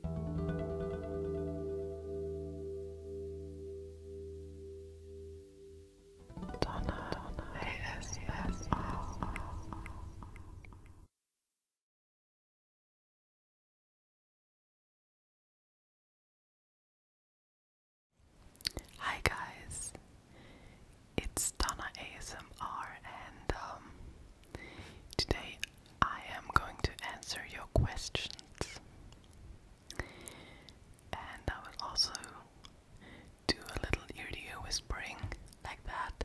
Donna, Donna, yes, yes, Hi guys, it's Donna ASMR, and um, today I am going to answer your questions. And I will also do a little ear to ear whispering like that.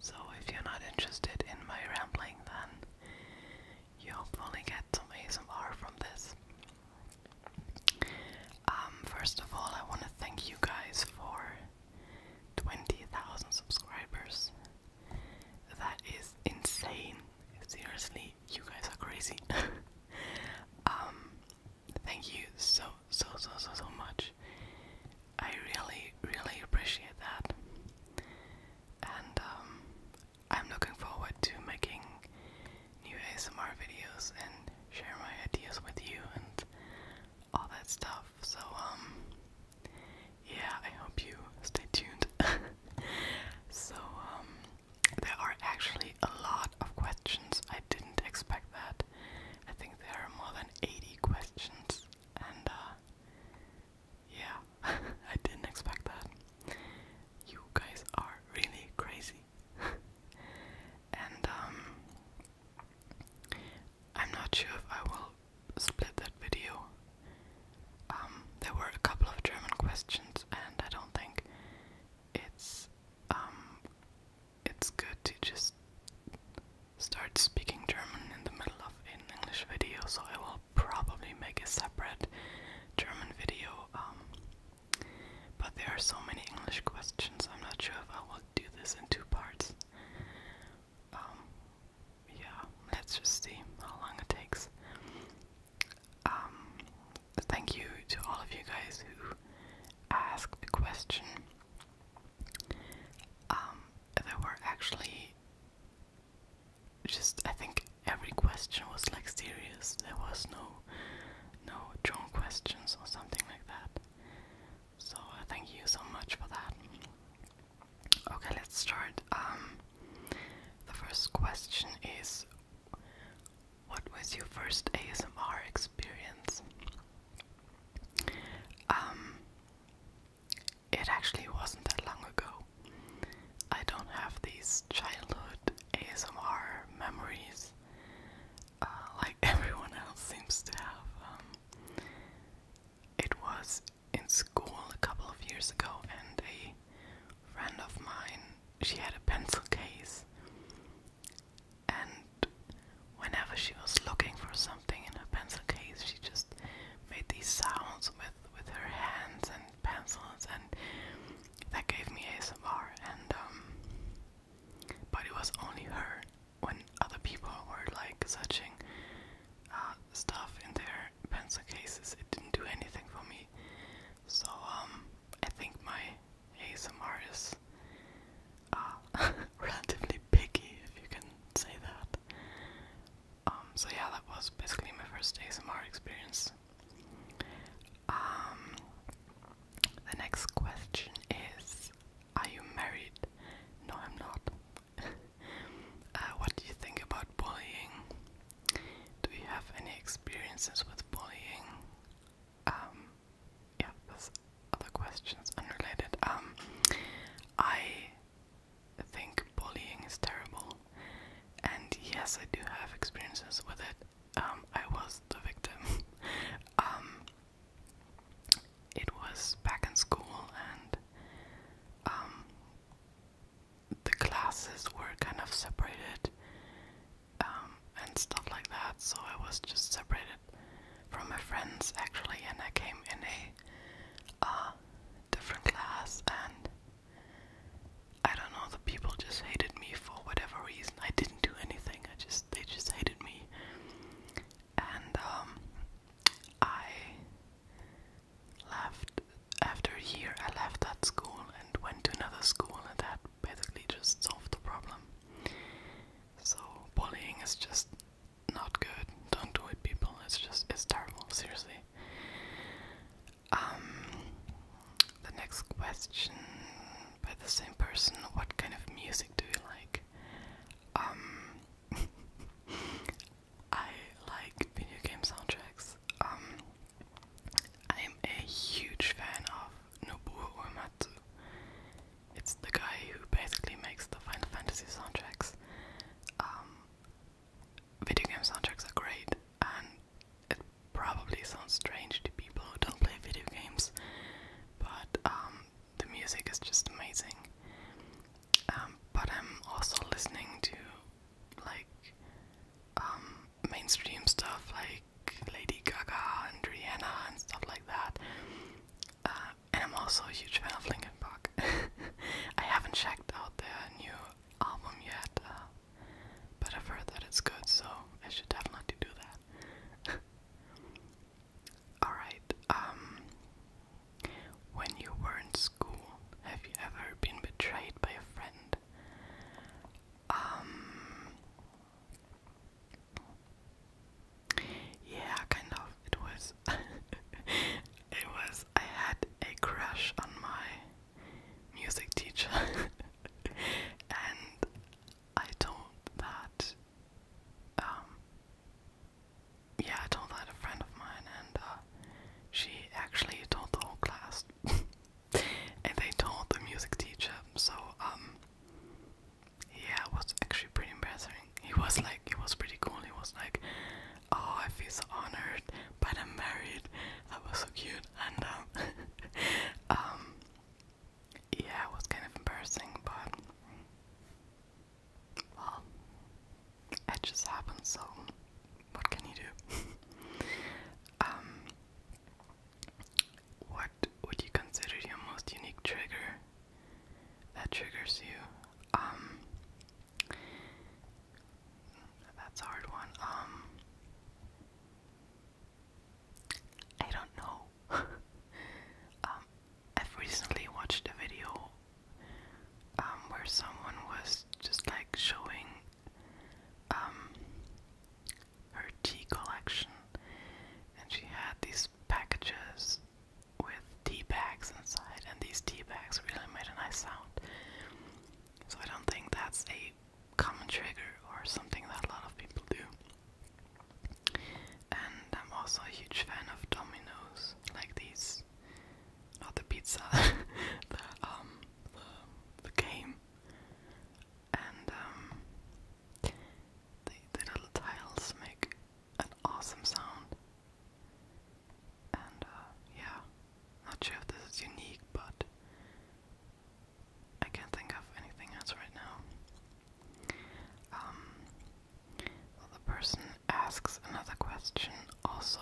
So if you're not interested in my rambling, then you hopefully get some ASMR from this. Um, first of all, I want to thank you guys for 20,000 subscribers. That is insane. Seriously, you guys are crazy. um, thank you so, so, so, so, so much. I really, really appreciate that. And um, I'm looking forward to making new ASMR videos and share my ideas with you and all that stuff. So, um, yeah, I hope you stay tuned. so, um, there are actually a lot of questions. I didn't expect that. I think there are more than 80 questions, and uh, yeah, I didn't expect that. You guys are really crazy. and um, I'm not sure if I will split that video. Um, there were a couple of German questions, and I don't think it's um, it's good to just start speaking German in the middle of an English video. So I will probably make a separate German video. Um, but there are so many English questions. I'm not sure if I will do this in two parts. Um, yeah, let's just see how long it takes. Um, thank you to all of you guys who asked the question. Um, there were actually just, I think every question was like serious. There was no, no drone questions or something like that. So uh, thank you so much for that. Okay, let's start. Um, the first question is What was your first ASMR experience? Um, it actually wasn't that long ago. I don't have these childhood ASMR memories uh, like everyone else seems to have. Um, it was in school a couple of years ago, and a friend of mine she had a pencil case, and whenever she was looking for something in her pencil case, she just made these sounds with with her hands and pencils, and that gave me a ASMR. And um, but it was only her when other people were like searching. Uh, stuff in their pencil cases. It didn't do anything for me. So um, I think my ASMR is uh, relatively picky, if you can say that. Um, so yeah, that was basically my first ASMR experience. Um, the next question is, are you married? No, I'm not. Uh, what do you think about bullying? Do you have any experiences with bullying? Um, yeah, other questions unrelated. Um, I think bullying is terrible, and yes, I do have experiences with it. Um, I was the victim. it was back in school, and the classes were kind of separated um, and stuff like that, so I was just separated from my friends actually, and I came in a uh, different class, and I don't know, the people just hated me for whatever reason. I didn't do anything. I just they just hated me, and um, I left after a year I left that school and went to another school and that basically just solved the problem. So bullying is just not good. Don't do it people. It's just it's terrible, seriously. Um the next question by the same person, what kind of music do you like? Um I like video game soundtracks. Um, I'm a huge fan of Nobuo Uematsu. It's the guy who basically makes the Final Fantasy soundtracks. Um, video game soundtracks are great, and it probably sounds strange to people who don't play video games, but um, the music is just amazing. Um, but I'm also listening to like um, mainstream stuff like Lady Gaga and Rihanna and stuff like that. Uh, and I'm also a huge fan of Linkin Park. I haven't checked out their new album yet, uh, but I've heard that it's good, so I should definitely do that. Alright, um, when you were in school, have you ever been betrayed by a friend? Um. Yeah, kind of. It was. it was. I had a crush on my music teacher, and I told that. Um. Yeah, I told that a friend of mine, and uh, she actually told the whole class. and they told the music teacher, so, um, yeah, it was actually pretty embarrassing. He was like, he was pretty cool. He was like, oh, I feel so honored, but I'm married. That was so cute. And, um, um, yeah, it was kind of embarrassing, but, well, it just happened, so what can you do? Um, what would you consider your most unique trigger that triggers you? Um, that's hard one. Um, I don't know. I've recently watched a video um, where someone was just like showing um, her tea collection, and she had these packages with tea bags inside, and these tea bags really made a nice sound. So I don't think that's a common trigger or something that a lot of people do. And I'm also a huge fan of dominoes, like these, not the pizza, the um, the, game, and um, the, little tiles make an awesome sound. And uh, yeah, not sure if this is unique, but I can't think of anything else right now. Um, the person asks another question also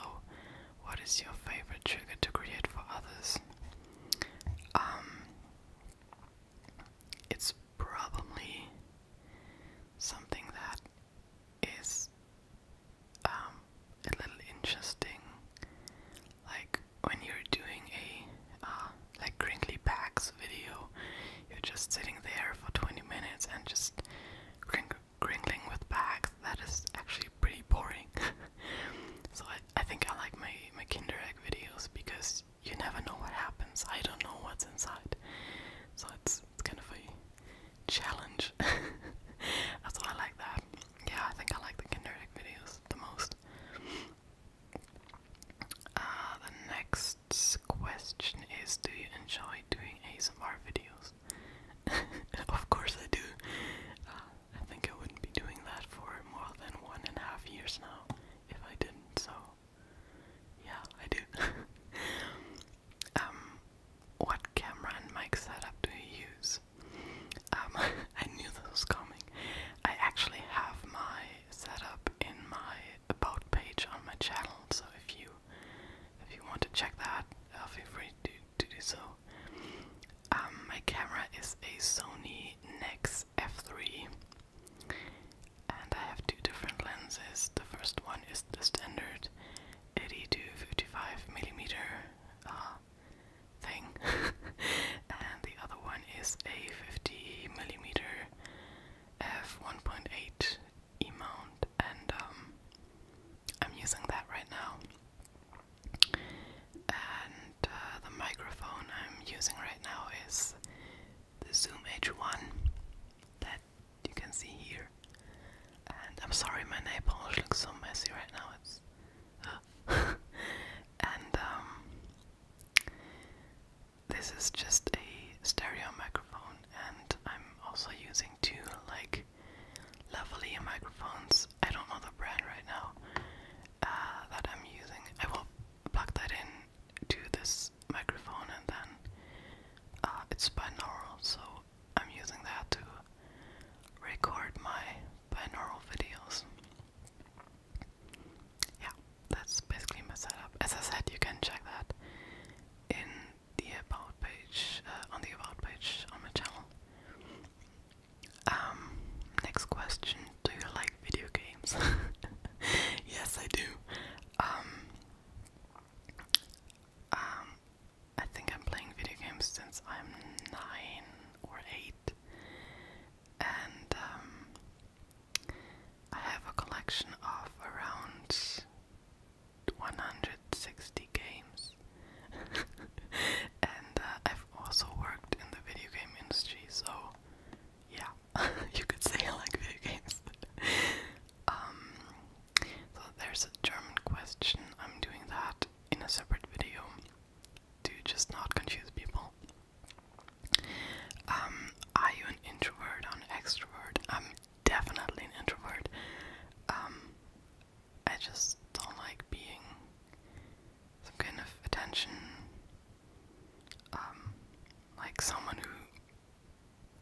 what is your favorite trigger to create for others? Um, it's probably something that is um, a little interesting, like when you're doing a uh, like crinkly packs video, you're just sitting there for 20 minutes and just crinkle, crinkling with bags, that is actually pretty boring. so I, I think I like my, my Kinder Egg videos because you never know what happens. I don't know what's inside. So it's, it's kind of a challenge. That's why I like that. Yeah, I think I like the Kinder Egg videos the most. Uh, the next question is Do you enjoy doing ASMR videos? of course I do. Uh, I think I wouldn't be doing that for more than one and a half years now if I didn't, so yeah, I do. um, what camera and mic setup do you use? Um, I knew this was coming. I actually have my setup in my about page on my channel, so if you if you want to check that, uh, feel free to to do so. Um, my camera is a Sony Nex F3, and I have two different lenses. The first one is the standard 80 55 millimeter uh, thing, and the other one is a 50 millimeter f1.8 e mount, and um, I'm using that right now. And uh, the microphone I'm using right now is the Zoom H1 that you can see here. And I'm sorry, my nail polish looks so messy right now. It's and um, this is just a stereo microphone, and I'm also using two like lavalier microphones. I don't know the brand right now uh, that I'm using. I will plug that in to this microphone, and then uh, it's binaural, so I'm using that to record my binaural videos. Yeah, that's basically my setup. As I said, you can check that in the about page, uh, on the about page on my channel. Um, next question. Do you like video games? yes, I do. Um, um, I think I'm playing video games since I'm nine or eight, and um, I have a collection of around 160 games. and uh, I've also worked in the video game industry, so yeah, you could say I like video games. Um, so there's a German question. I'm doing that in a separate video to just not confuse people. Um, are you an introvert or an extrovert? I'm definitely an introvert. Um, I just don't like being some kind of attention, um, like someone who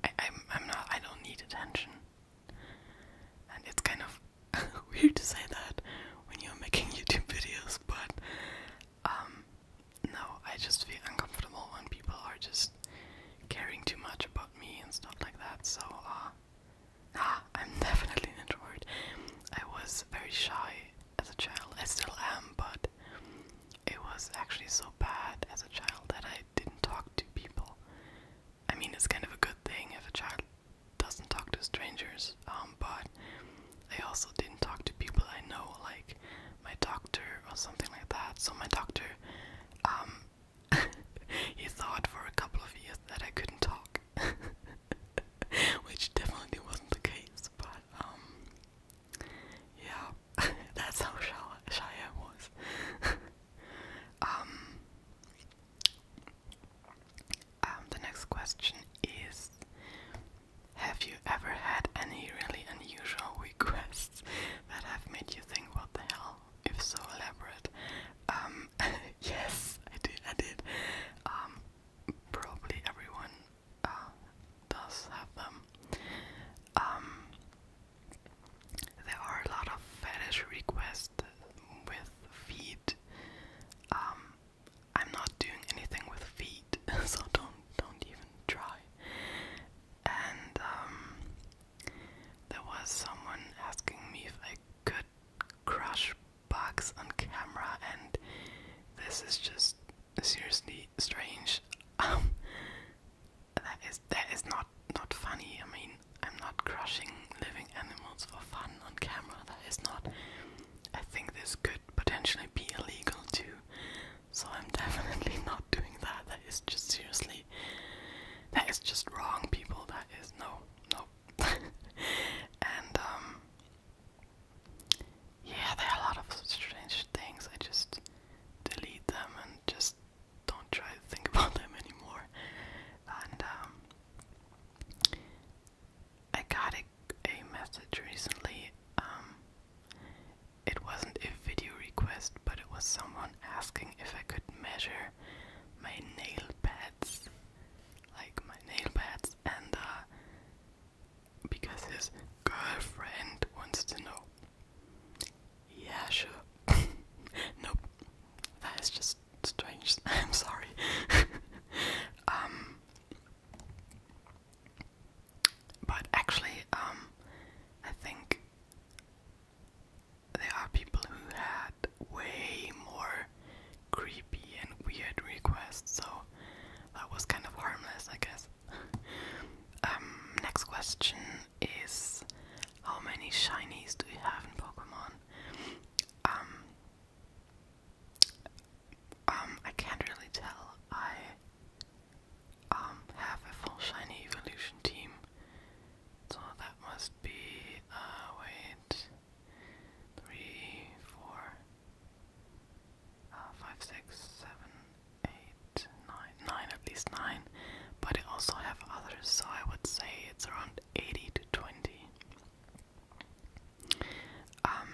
I, am I'm not, I don't need attention. And it's kind of weird to say that when you're making YouTube videos, but um, no, I just feel uncomfortable when people are just caring too much about me and stuff like that. So, uh, Ah, I'm definitely an I was very shy as a child. I still am, but it was actually so bad as a child that I didn't talk to people. I mean, it's kind of a good thing if a child doesn't talk to strangers, um, but I also didn't talk to people I know, like my doctor or something like that. So my doctor, um, he thought for a couple of years that I couldn't talk. which definitely wasn't the case, but um, yeah, that's how shy, shy I was. Um, um, the next question is Have you ever had any really unusual requests that have made you think, what the hell? If so, elaborate. Um, yes, I did, I did. Um, probably everyone uh, does have them. Um, there are a lot of fetish requests with feet. Um, I'm not doing anything with feet, so don't don't even try. And um, there was someone asking me if I could crush Box on camera, and this is just seriously strange. Um, that is that is not not funny. I mean, I'm not crushing living animals for fun on camera. That is not. I think this could potentially be illegal too. So I'm definitely not doing that. That is just seriously. That is just wrong, people. That is no, no, now. and um yeah, there are a lot of strange things. I just delete them and just don't try to think about them anymore. And um I got a, a message recently. Um it wasn't a video request, but it was someone asking if I could measure my nail pads, like my nail pads, and uh, because his girlfriend wants to know. Yeah, sure. nope. That is just strange. I'm sorry. um, but actually, um, I think there are people who had way more creepy and weird requests, so that was kind of harmless, I guess. Um, next question is how many shinies do you have in Pokemon? Um, um I can't really tell. I um, have a full shiny evolution team, so that must be uh wait three, uh, at least nine. But I also have others, so I would say it's around 80 to 20. Um,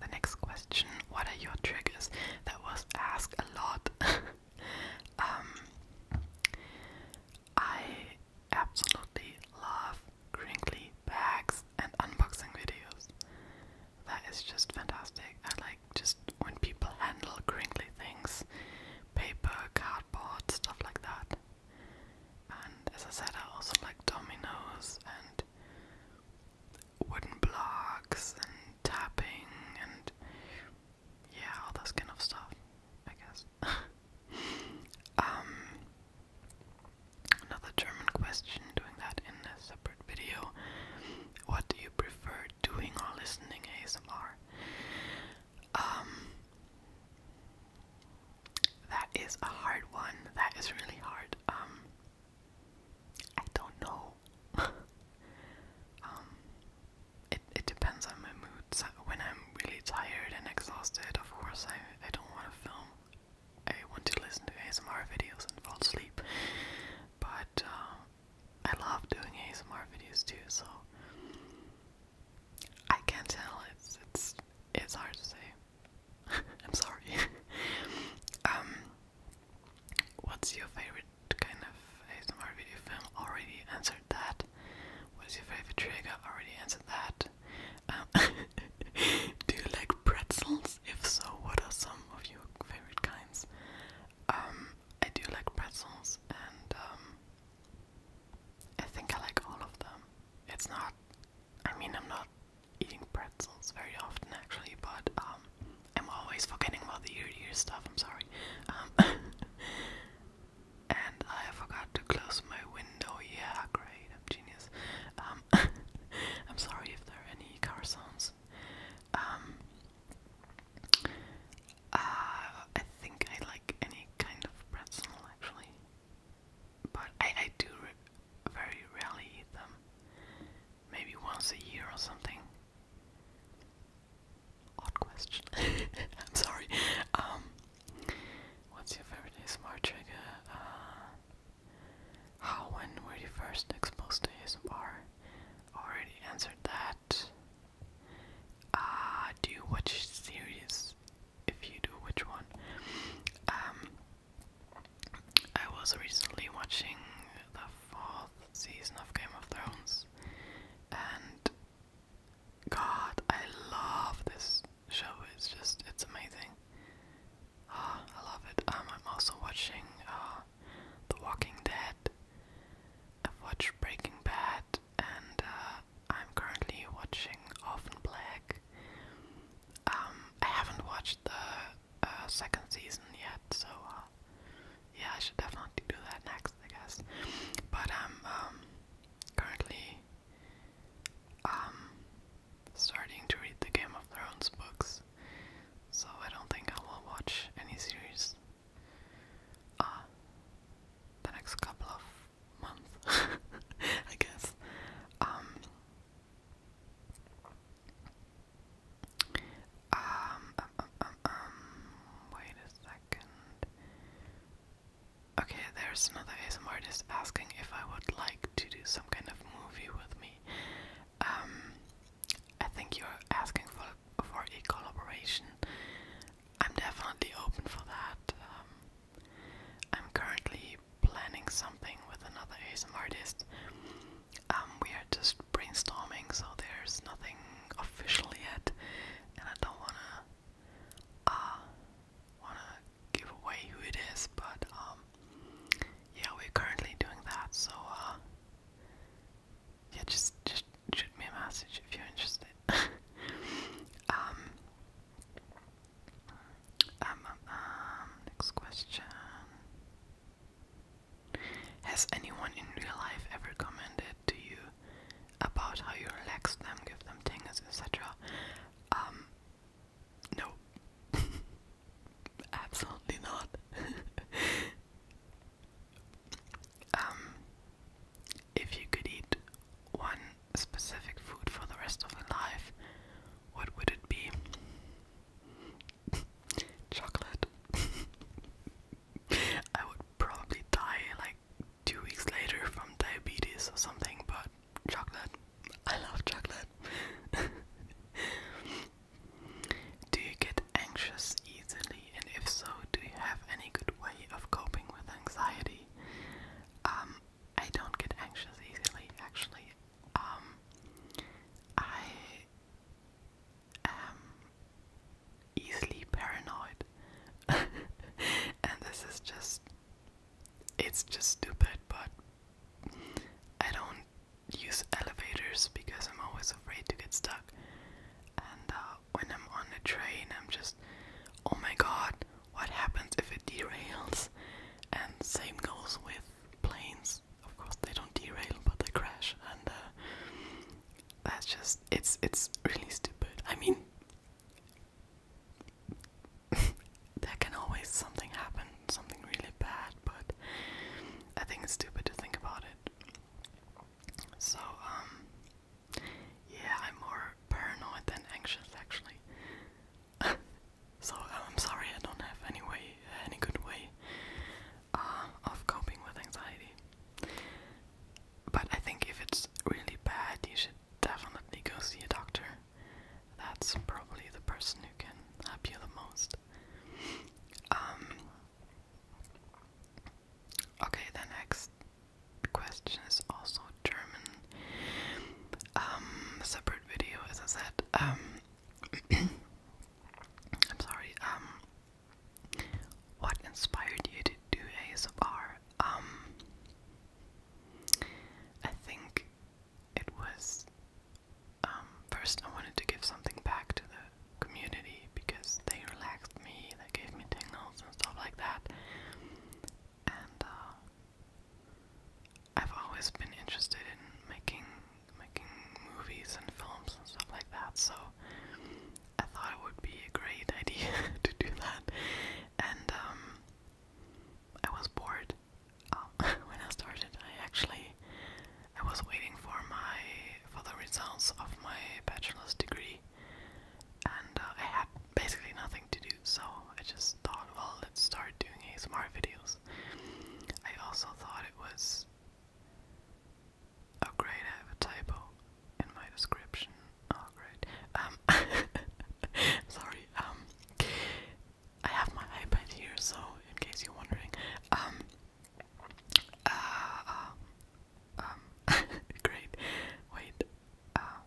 the next question, what are your triggers? That was asked a lot. um, I absolutely love crinkly bags and unboxing videos. That is just fantastic. I like just when people handle crinkly things paper, cardboard, stuff like that. And as I said, I also like dominoes and wooden blocks and tapping and yeah, all those kind of stuff, I guess. Um, Another German question, doing that in a separate video. What do you prefer, doing or listening ASMR? Um, that is a hard one. That is really hard. Um, I don't know. Um, it it depends on my mood. So when I'm really tired and exhausted, of course I I don't want to film I want to listen to ASMR videos and fall asleep, but uh, I love doing ASMR videos too, so I can't tell. It's it's it's hard to say. I'm sorry. Um, what's your favorite kind of ASMR video film? Already answered that. What's your favorite trigger? Already answered that. Um, do you like pretzels? If so, what are some of your favorite kinds? Um, I do like pretzels, and um, I think I like all of them. It's not, I mean, I'm not eating pretzels very often actually, but um, I'm always forgetting about the ear to stuff, I'm sorry. Um, and I forgot to close my window, yeah, great genius. Um, I'm sorry if there are any car um, uh, I think I like any kind of pretzel actually, but I, do very rarely eat them. Maybe once a year or something. Odd question. I'm sorry. Um, What's your favorite smart trigger? Uh, how, when were you first exposed to ASMR? Already answered that. Ah, do you watch series? If you do, which one? Um, I was recently watching the fourth season of Game of Thrones, and God, I love this show is just it's amazing. Uh, I love it. Um, I'm also watching uh, The Walking Dead. I've watched Breaking Bad, and uh, I'm currently watching Often Black. Um, I haven't watched the uh, second season yet, so uh, yeah, I should definitely do that next, I guess. But um, um, currently um starting to read the Game of Thrones books, so I don't think I will watch any series uh the next couple of months I guess. um, um, um, um, wait a second. Okay, there's another ASMR artist asking if I would like to do some kind of movie with me. Um, I think you're asking for for a collaboration. I'm definitely open for that. Um, I'm currently planning something with another ASMR artist. Um, we are just brainstorming, so there's nothing official yet, and I don't wanna uh, wanna give away who it is, but um, yeah, we're currently doing that. So uh, yeah, just just shoot me a message if you're interested. Um, um, um, um, next question. Has anyone in real life ever commented to you about how you relax them, give them tingles, etc.? Um, no, Absolutely not. um, if you could eat one specific food for the rest of your life, what would it be? Chocolate. I would probably die like two weeks later from diabetes or something, but chocolate. I love chocolate. do you get anxious easily? And if so, do you have any good way of coping with anxiety? Um, I don't get anxious easily, actually. Um, I am easily paranoid, and this is just it's just stupid, but I don't use elevators because I'm always afraid to get stuck. And uh, when I'm on a train, I'm just, oh my god, what happens if it derails? And same goes with planes. Of course, they don't derail, but they crash, and uh, that's just it's it's really stupid. I mean, there can always something happen, something really bad, but I think it's stupid to think about it. So, um, yeah, I'm more paranoid than anxious actually. so um, I'm sorry I don't have any way, any good way uh, of coping with anxiety. But I think if it's really bad, you should definitely go see a doctor that's probably the person who can help you the most. Um, okay, the next question is also German. Um, separate video, as I said. Um, I'm sorry. what inspired you to do ASMR? I think it was because um, first I wanted to give something back to the community because they relaxed me, they gave me tingles and stuff like that. And uh, I've always been interested in making making movies and films and stuff like that, so I thought it would be a great idea to do that. And um, I was bored um, when I started, I actually, I was waiting for my, for the results of my bachelor's degree, and uh, I had basically nothing to do, so I just thought, well, let's start doing ASMR videos. I also thought it was, oh great, I have a typo in my description, oh great, um, sorry, um, I have my iPad here, so in case you're wondering, um, uh, uh um, um, great. Wait, uh,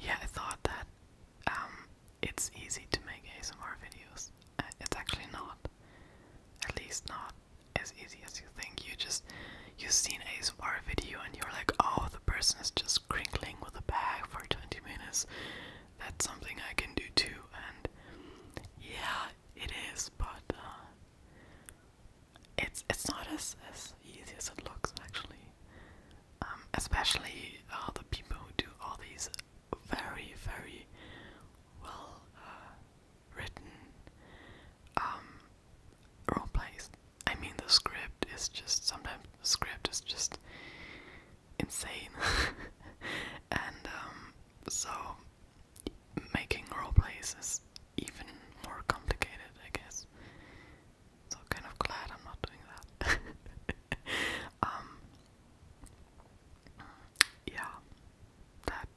yeah, I thought that um, it's easy to make ASMR videos. Uh, it's actually not, at least not as easy as you think. You just you have seen ASMR video and you're like, oh, the person is just crinkling with a bag for 20 minutes that's something I can do too, and yeah, it is, but uh, it's it's not as as easy as it looks actually, um, especially uh, the people who do all these very very well uh, written um, role plays. I mean, the script is just sometimes the script is just insane. and um, so making roleplays is even more complicated, I guess. So kind of glad I'm not doing that. Um, yeah, that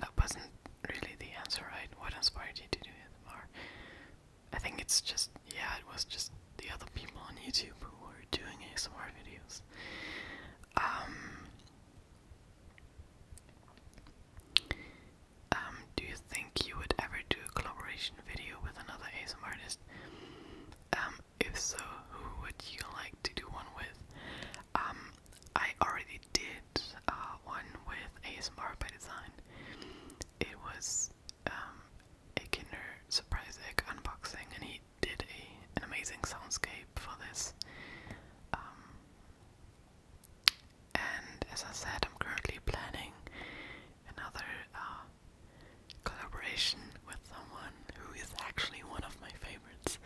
that wasn't really the answer, right? What inspired you to do it, or I think it's just, yeah, it was just the other people on YouTube who were doing ASMR videos. Um, um, do you think you would ever do a collaboration video with another ASMR artist? Um, if so, who would you like to do one with? Um, I already did uh, one with ASMR by Design. It was um, a Kinder Surprise Egg unboxing, and he did an amazing soundscape for this. Um, and as I said, I'm currently planning another uh, collaboration with someone who is actually one of my favorites.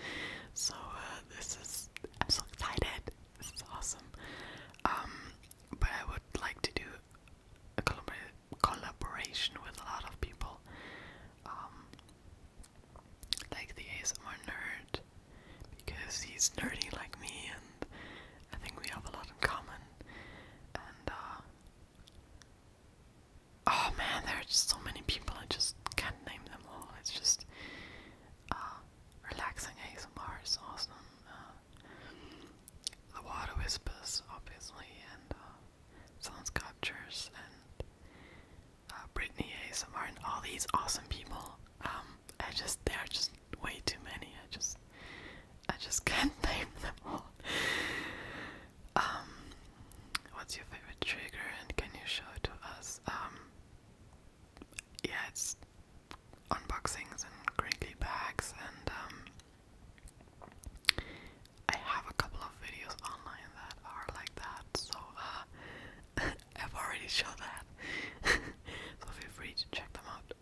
So uh, this is I'm so excited. This is awesome. Um, but I would like to do a collaboration with a lot of people, um, like the ASMR nerd, because he's nerdy like me, and I think we have a lot in common. And uh, oh man, there are just so many people. I just can't name them all. It's just uh, relaxing ASMR is awesome. Uh, the Water of whispers, obviously, and uh, sound sculptures, and uh, Brittany ASMR, and all these awesome people. Um, I just there are just way too many. I just I just can't name them all. Um, what's your favorite trigger, and can you show it to us? Um, yeah, it's unboxings and crinkly bags and I have a couple of videos online that are like that, so uh, I've already shown that. so feel free to check them out.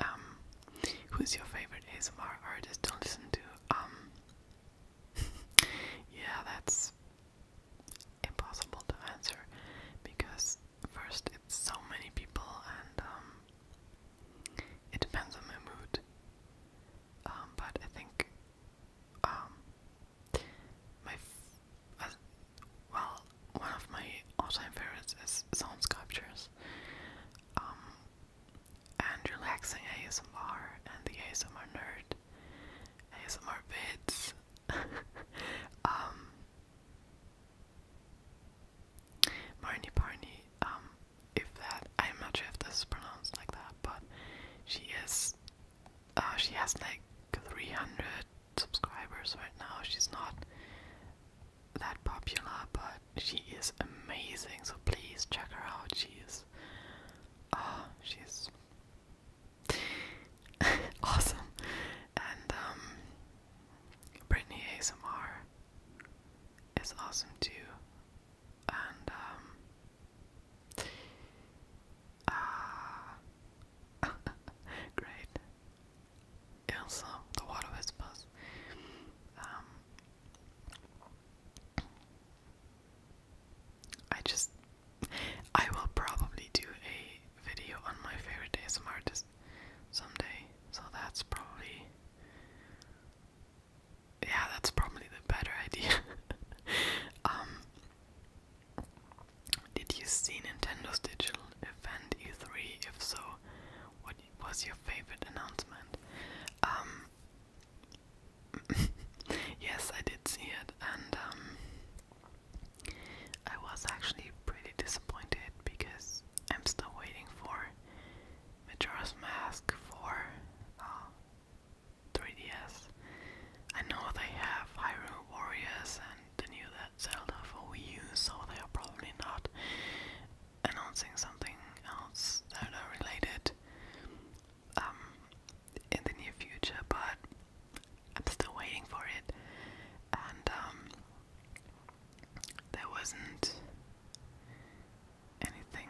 Um, who's your favorite ASMR artist to listen to? Um, yeah, that's impossible to answer because first it's so many people and um it depends on my mood. Um, but I think, um, my, uh, well, one of my all-time favorites is sound sculptures. Um, and relaxing ASMR and the ASMR nerd, ASMR vids. Marnie Barney, um, if that, I'm not sure if this is pronounced like that, but she is, uh, she has like 300 subscribers right now. She's not that popular, but she is amazing, so please check her out. She is, uh, she's awesome. And, um, Brittany ASMR it's awesome too. And um uh, great. Also the water whispers. Um, I just I will probably do a video on my favorite ASMR artist someday, so that's probably yeah, that's probably the better idea. Um, did you see Nintendo's digital event E3? If so, what was your favorite announcement? Um, yes, I did see it, and um, I was actually pretty disappointed because I'm still waiting for Majora's Mask for 3DS. Uh, I know they have Hyrule Warriors and the new Zelda for Wii U, so they are probably not announcing something else Zelda related um, in the near future, but I'm still waiting for it. And um, there wasn't anything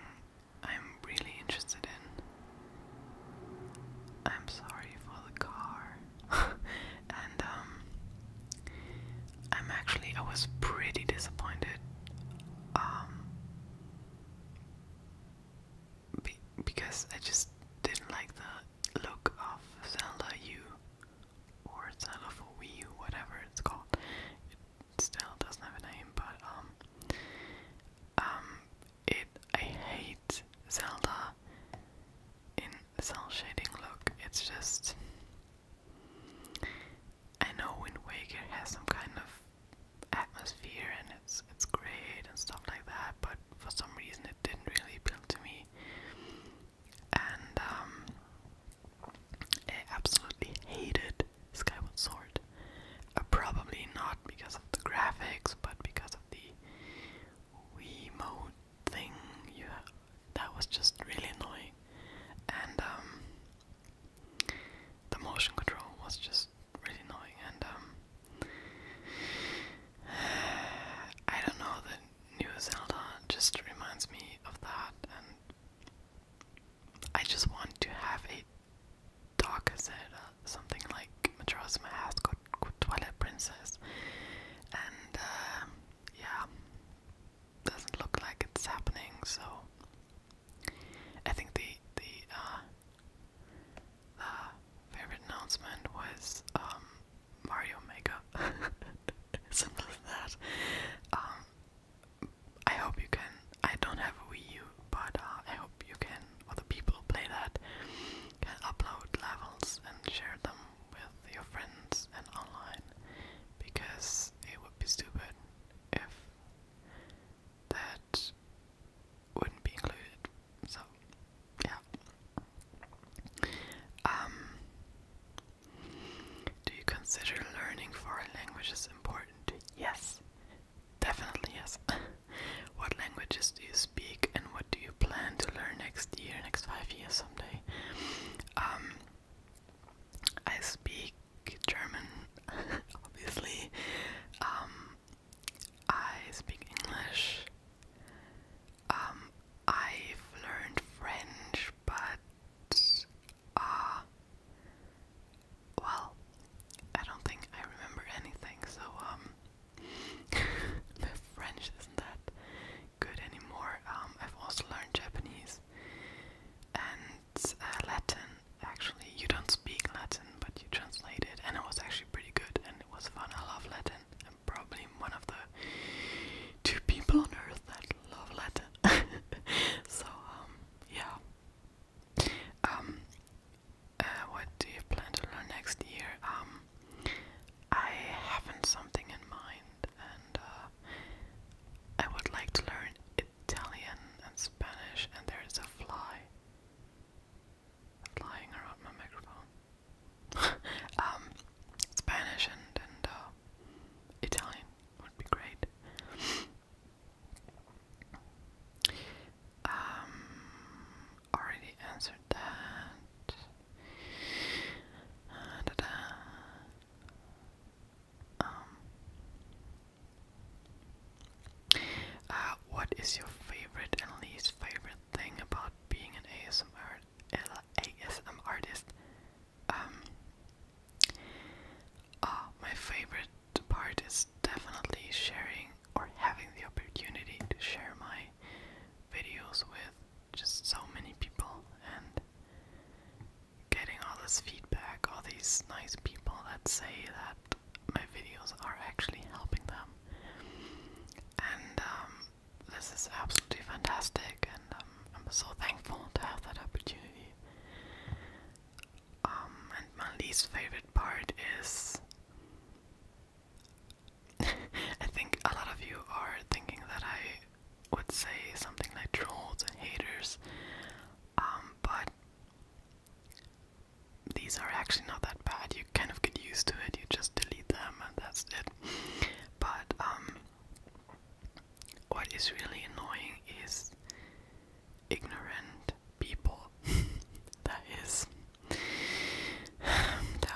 I'm really interested in. I'm sorry for the car. and um I'm actually I was pretty disappointed. Um because I just didn't like the look of Zelda U or Zelda for Wii U, whatever it's called still doesn't have a name, but um, um, it I hate Zelda in cell shading look. It's just I know Wind Waker has some kind of atmosphere and it's it's great and stuff like that, but for some reason it didn't really appeal to me. And um, I absolutely hated Skyward Sword. Uh, probably not because of the graphics, but because of the Wii mode thing. You that was just really annoying, and um, the motion control was just really annoying. And um, I don't know, the new Zelda just reminds me of that, and I just want to have a dog casera, something like Madrasa has got Twilight Princess, and um, yeah, doesn't look like it's happening. So I think the the uh, the favorite announcement was um, Mario Maker, simple as that. Um, I hope you can. I don't have a Wii U, but uh, I hope you can, Other people play that, can upload levels and share them with your friends and online, because it would be stupid if that wouldn't be included. So, yeah. Um, do you consider learning foreign languages important? Yes, Definitely yes. what languages do you speak and what do you plan to learn next year, next five years someday? Um, I speak German, obviously. Um, I speak English. Um, I've learned French, but uh, well, I don't think I remember anything, so, my um, French isn't that good anymore. Um, I've also learned Japanese and uh, Latin, actually. You don't speak Latin, but you translate it, and it was actually pretty good and it was fun. I love Latin. I'm probably one of the two people on earth that love Latin. so, um, yeah. Um, uh, what do you plan to learn next year? Um, I haven't something in mind, and uh, I would like to learn Italian and Spanish. And there is a fly flying around my microphone. um, Spanish and and uh, Italian would be great. Um, already answered that. Uh, um, uh, what is your favorite and least favorite thing about being an ASMR LASM artist? Um, uh, my favorite part is definitely sharing or having the opportunity to share my videos with just so many people and getting all this feedback, all these nice people that say that my videos are actually helping them. And um, this is absolutely fantastic, and um, I'm so thankful to have that opportunity. Um, and my least favorite part is. I think a lot of you are thinking that I would say something like trolls and haters, um, but these are actually not that bad. You kind of get used to it, you just delete them, and that's it. But, um, what is really annoying is ignorant people. that is. there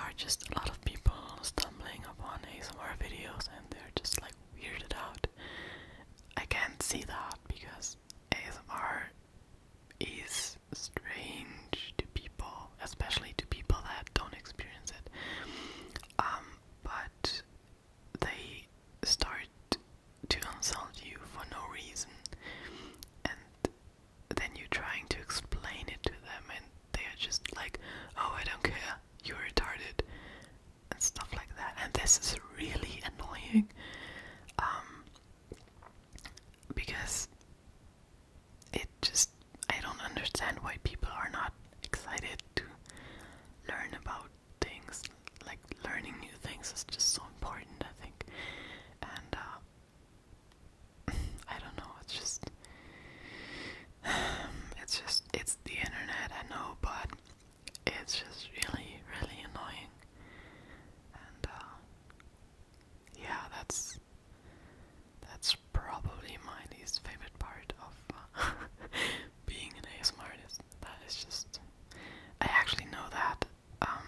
are just a lot of people stumbling upon ASMR videos and they're just like weirded out. I can't see that because ASMR is strange to people, especially to people that don't experience it. Um, but they start to insult you for no reason, and then you're trying to explain it to them, and they are just like, "Oh, I don't care, you're retarded," and stuff like that. And this is really annoying, um, because it just I don't understand why people are not excited to learn about things, like learning new things, is just so important, I think. And uh, I don't know, it's just, it's just, it's the internet, I know, but it's just really, really annoying. And uh, yeah, that's that's probably my least favorite part of uh, being an ASMR artist is that is just I actually know that um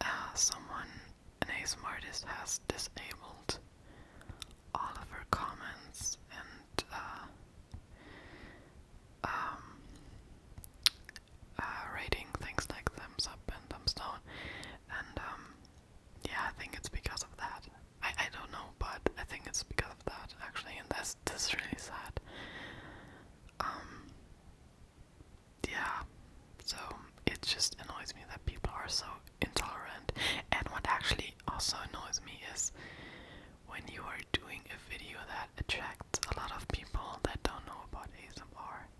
uh, someone an ASM artist has disabled all of her comments and uh, um, uh, rating things like thumbs up and thumbs down, and um, yeah, I think it's because of that. I I don't know, but I think it's because of that actually, and I this is really sad. Um, yeah. So it just annoys me that people are so intolerant. And what actually also annoys me is when you are doing a video that attracts a lot of people that don't know about ASMR.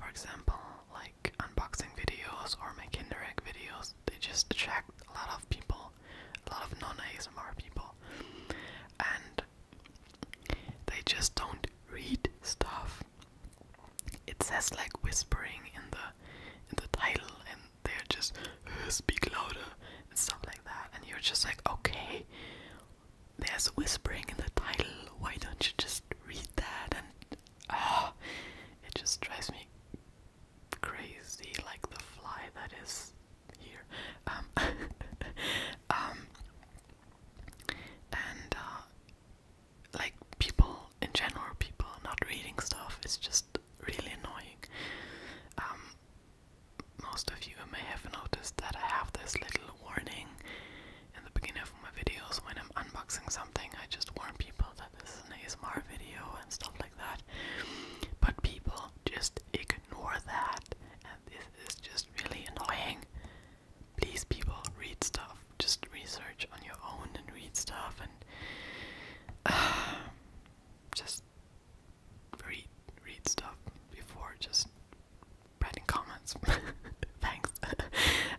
For example, like unboxing videos or my Kinderek videos, they just attract a lot of people people, non ASMR people, and they just don't read stuff. It says like whispering in the in the title, and they're just uh, speak louder and stuff like that, and you're just like, okay, there's whispering in the title. Why don't you just read that? And ah, it just drives me crazy, like the fly that is here. Um, um, and uh, like people in general, people not reading stuff is just really annoying. Um, most of you may have noticed that I have this little warning in the beginning of my videos when I'm unboxing something. I just warn people that this is an ASMR video and stuff like that. But people just ignore ignore that, and this is just really annoying. Please, people, read stuff. Just research on your own and read stuff, and just read read stuff before just writing comments. Thanks.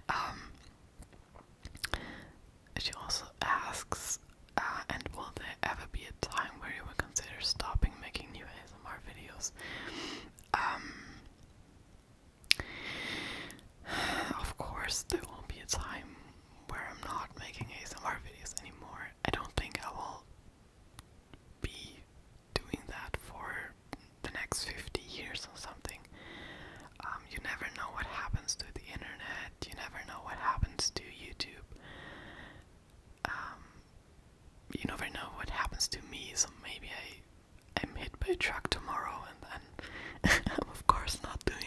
Um, she also asks, uh, and will there ever be time where you would consider stopping making new ASMR videos. Um, of course, there won't be a time where I'm not making ASMR videos anymore. I don't think I will be doing that for the next 50 years or something. Um, you never know what happens to the internet, you never know what happens to YouTube. Um, you never know what happens to me, so maybe I am hit by a truck tomorrow and then I'm of course not doing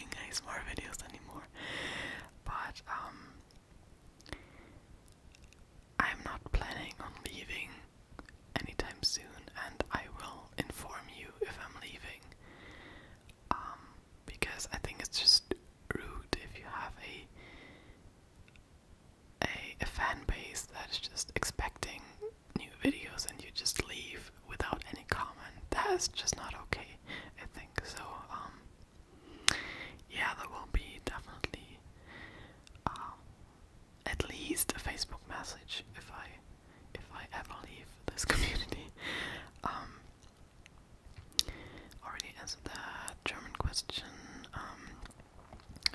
more videos anymore. But um, I'm not planning on leaving anytime soon and I will inform you if I'm leaving. Um, because I think it's just rude if you have a a, fan base that is just expecting new videos and you just leave without any comment. That's just not okay, I think. So, um, yeah, there will be definitely um, at least a Facebook message if I if I ever leave this community. Um, already answered that. German question. Um,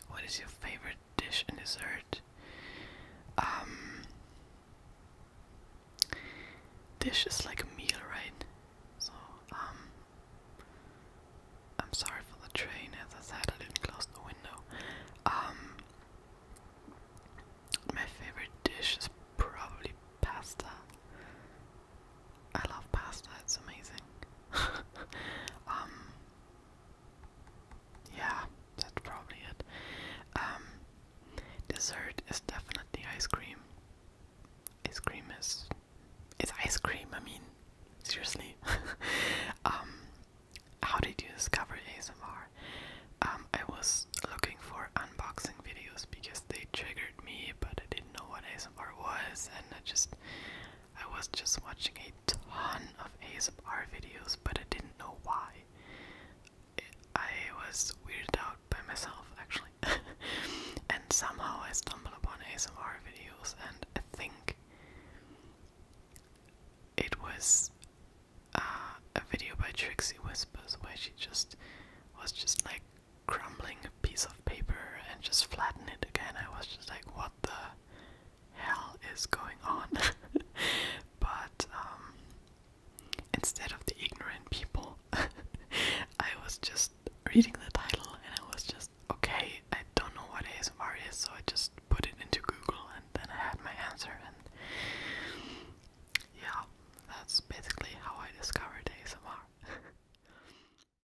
what is your favorite dish and dessert? Um, dish is like a meal, right? So, um, I'm sorry for the train. As I said, I didn't close the window. my favorite dish is probably pasta. I love pasta, it's amazing. um yeah, that's probably it. Um dessert is definitely ice cream. Ice cream is it's ice cream, I mean seriously. um how did you discover ASMR? Um I was looking for unboxing videos because they triggered me but I didn't know what ASMR was and I just I was just watching a ton of ASMR videos, but I didn't know why. I was weirded out by myself, actually. and somehow I stumbled upon ASMR videos, and I think it was uh, a video by Trixie Whispers where she just was just like crumbling piece of paper and just flatten it again. I was just like, what the hell is going on? but um, instead of the ignorant people, I was just reading the title and I was just, okay, I don't know what ASMR is, so I just put it into Google and then I had my answer. And yeah, that's basically how I discovered ASMR.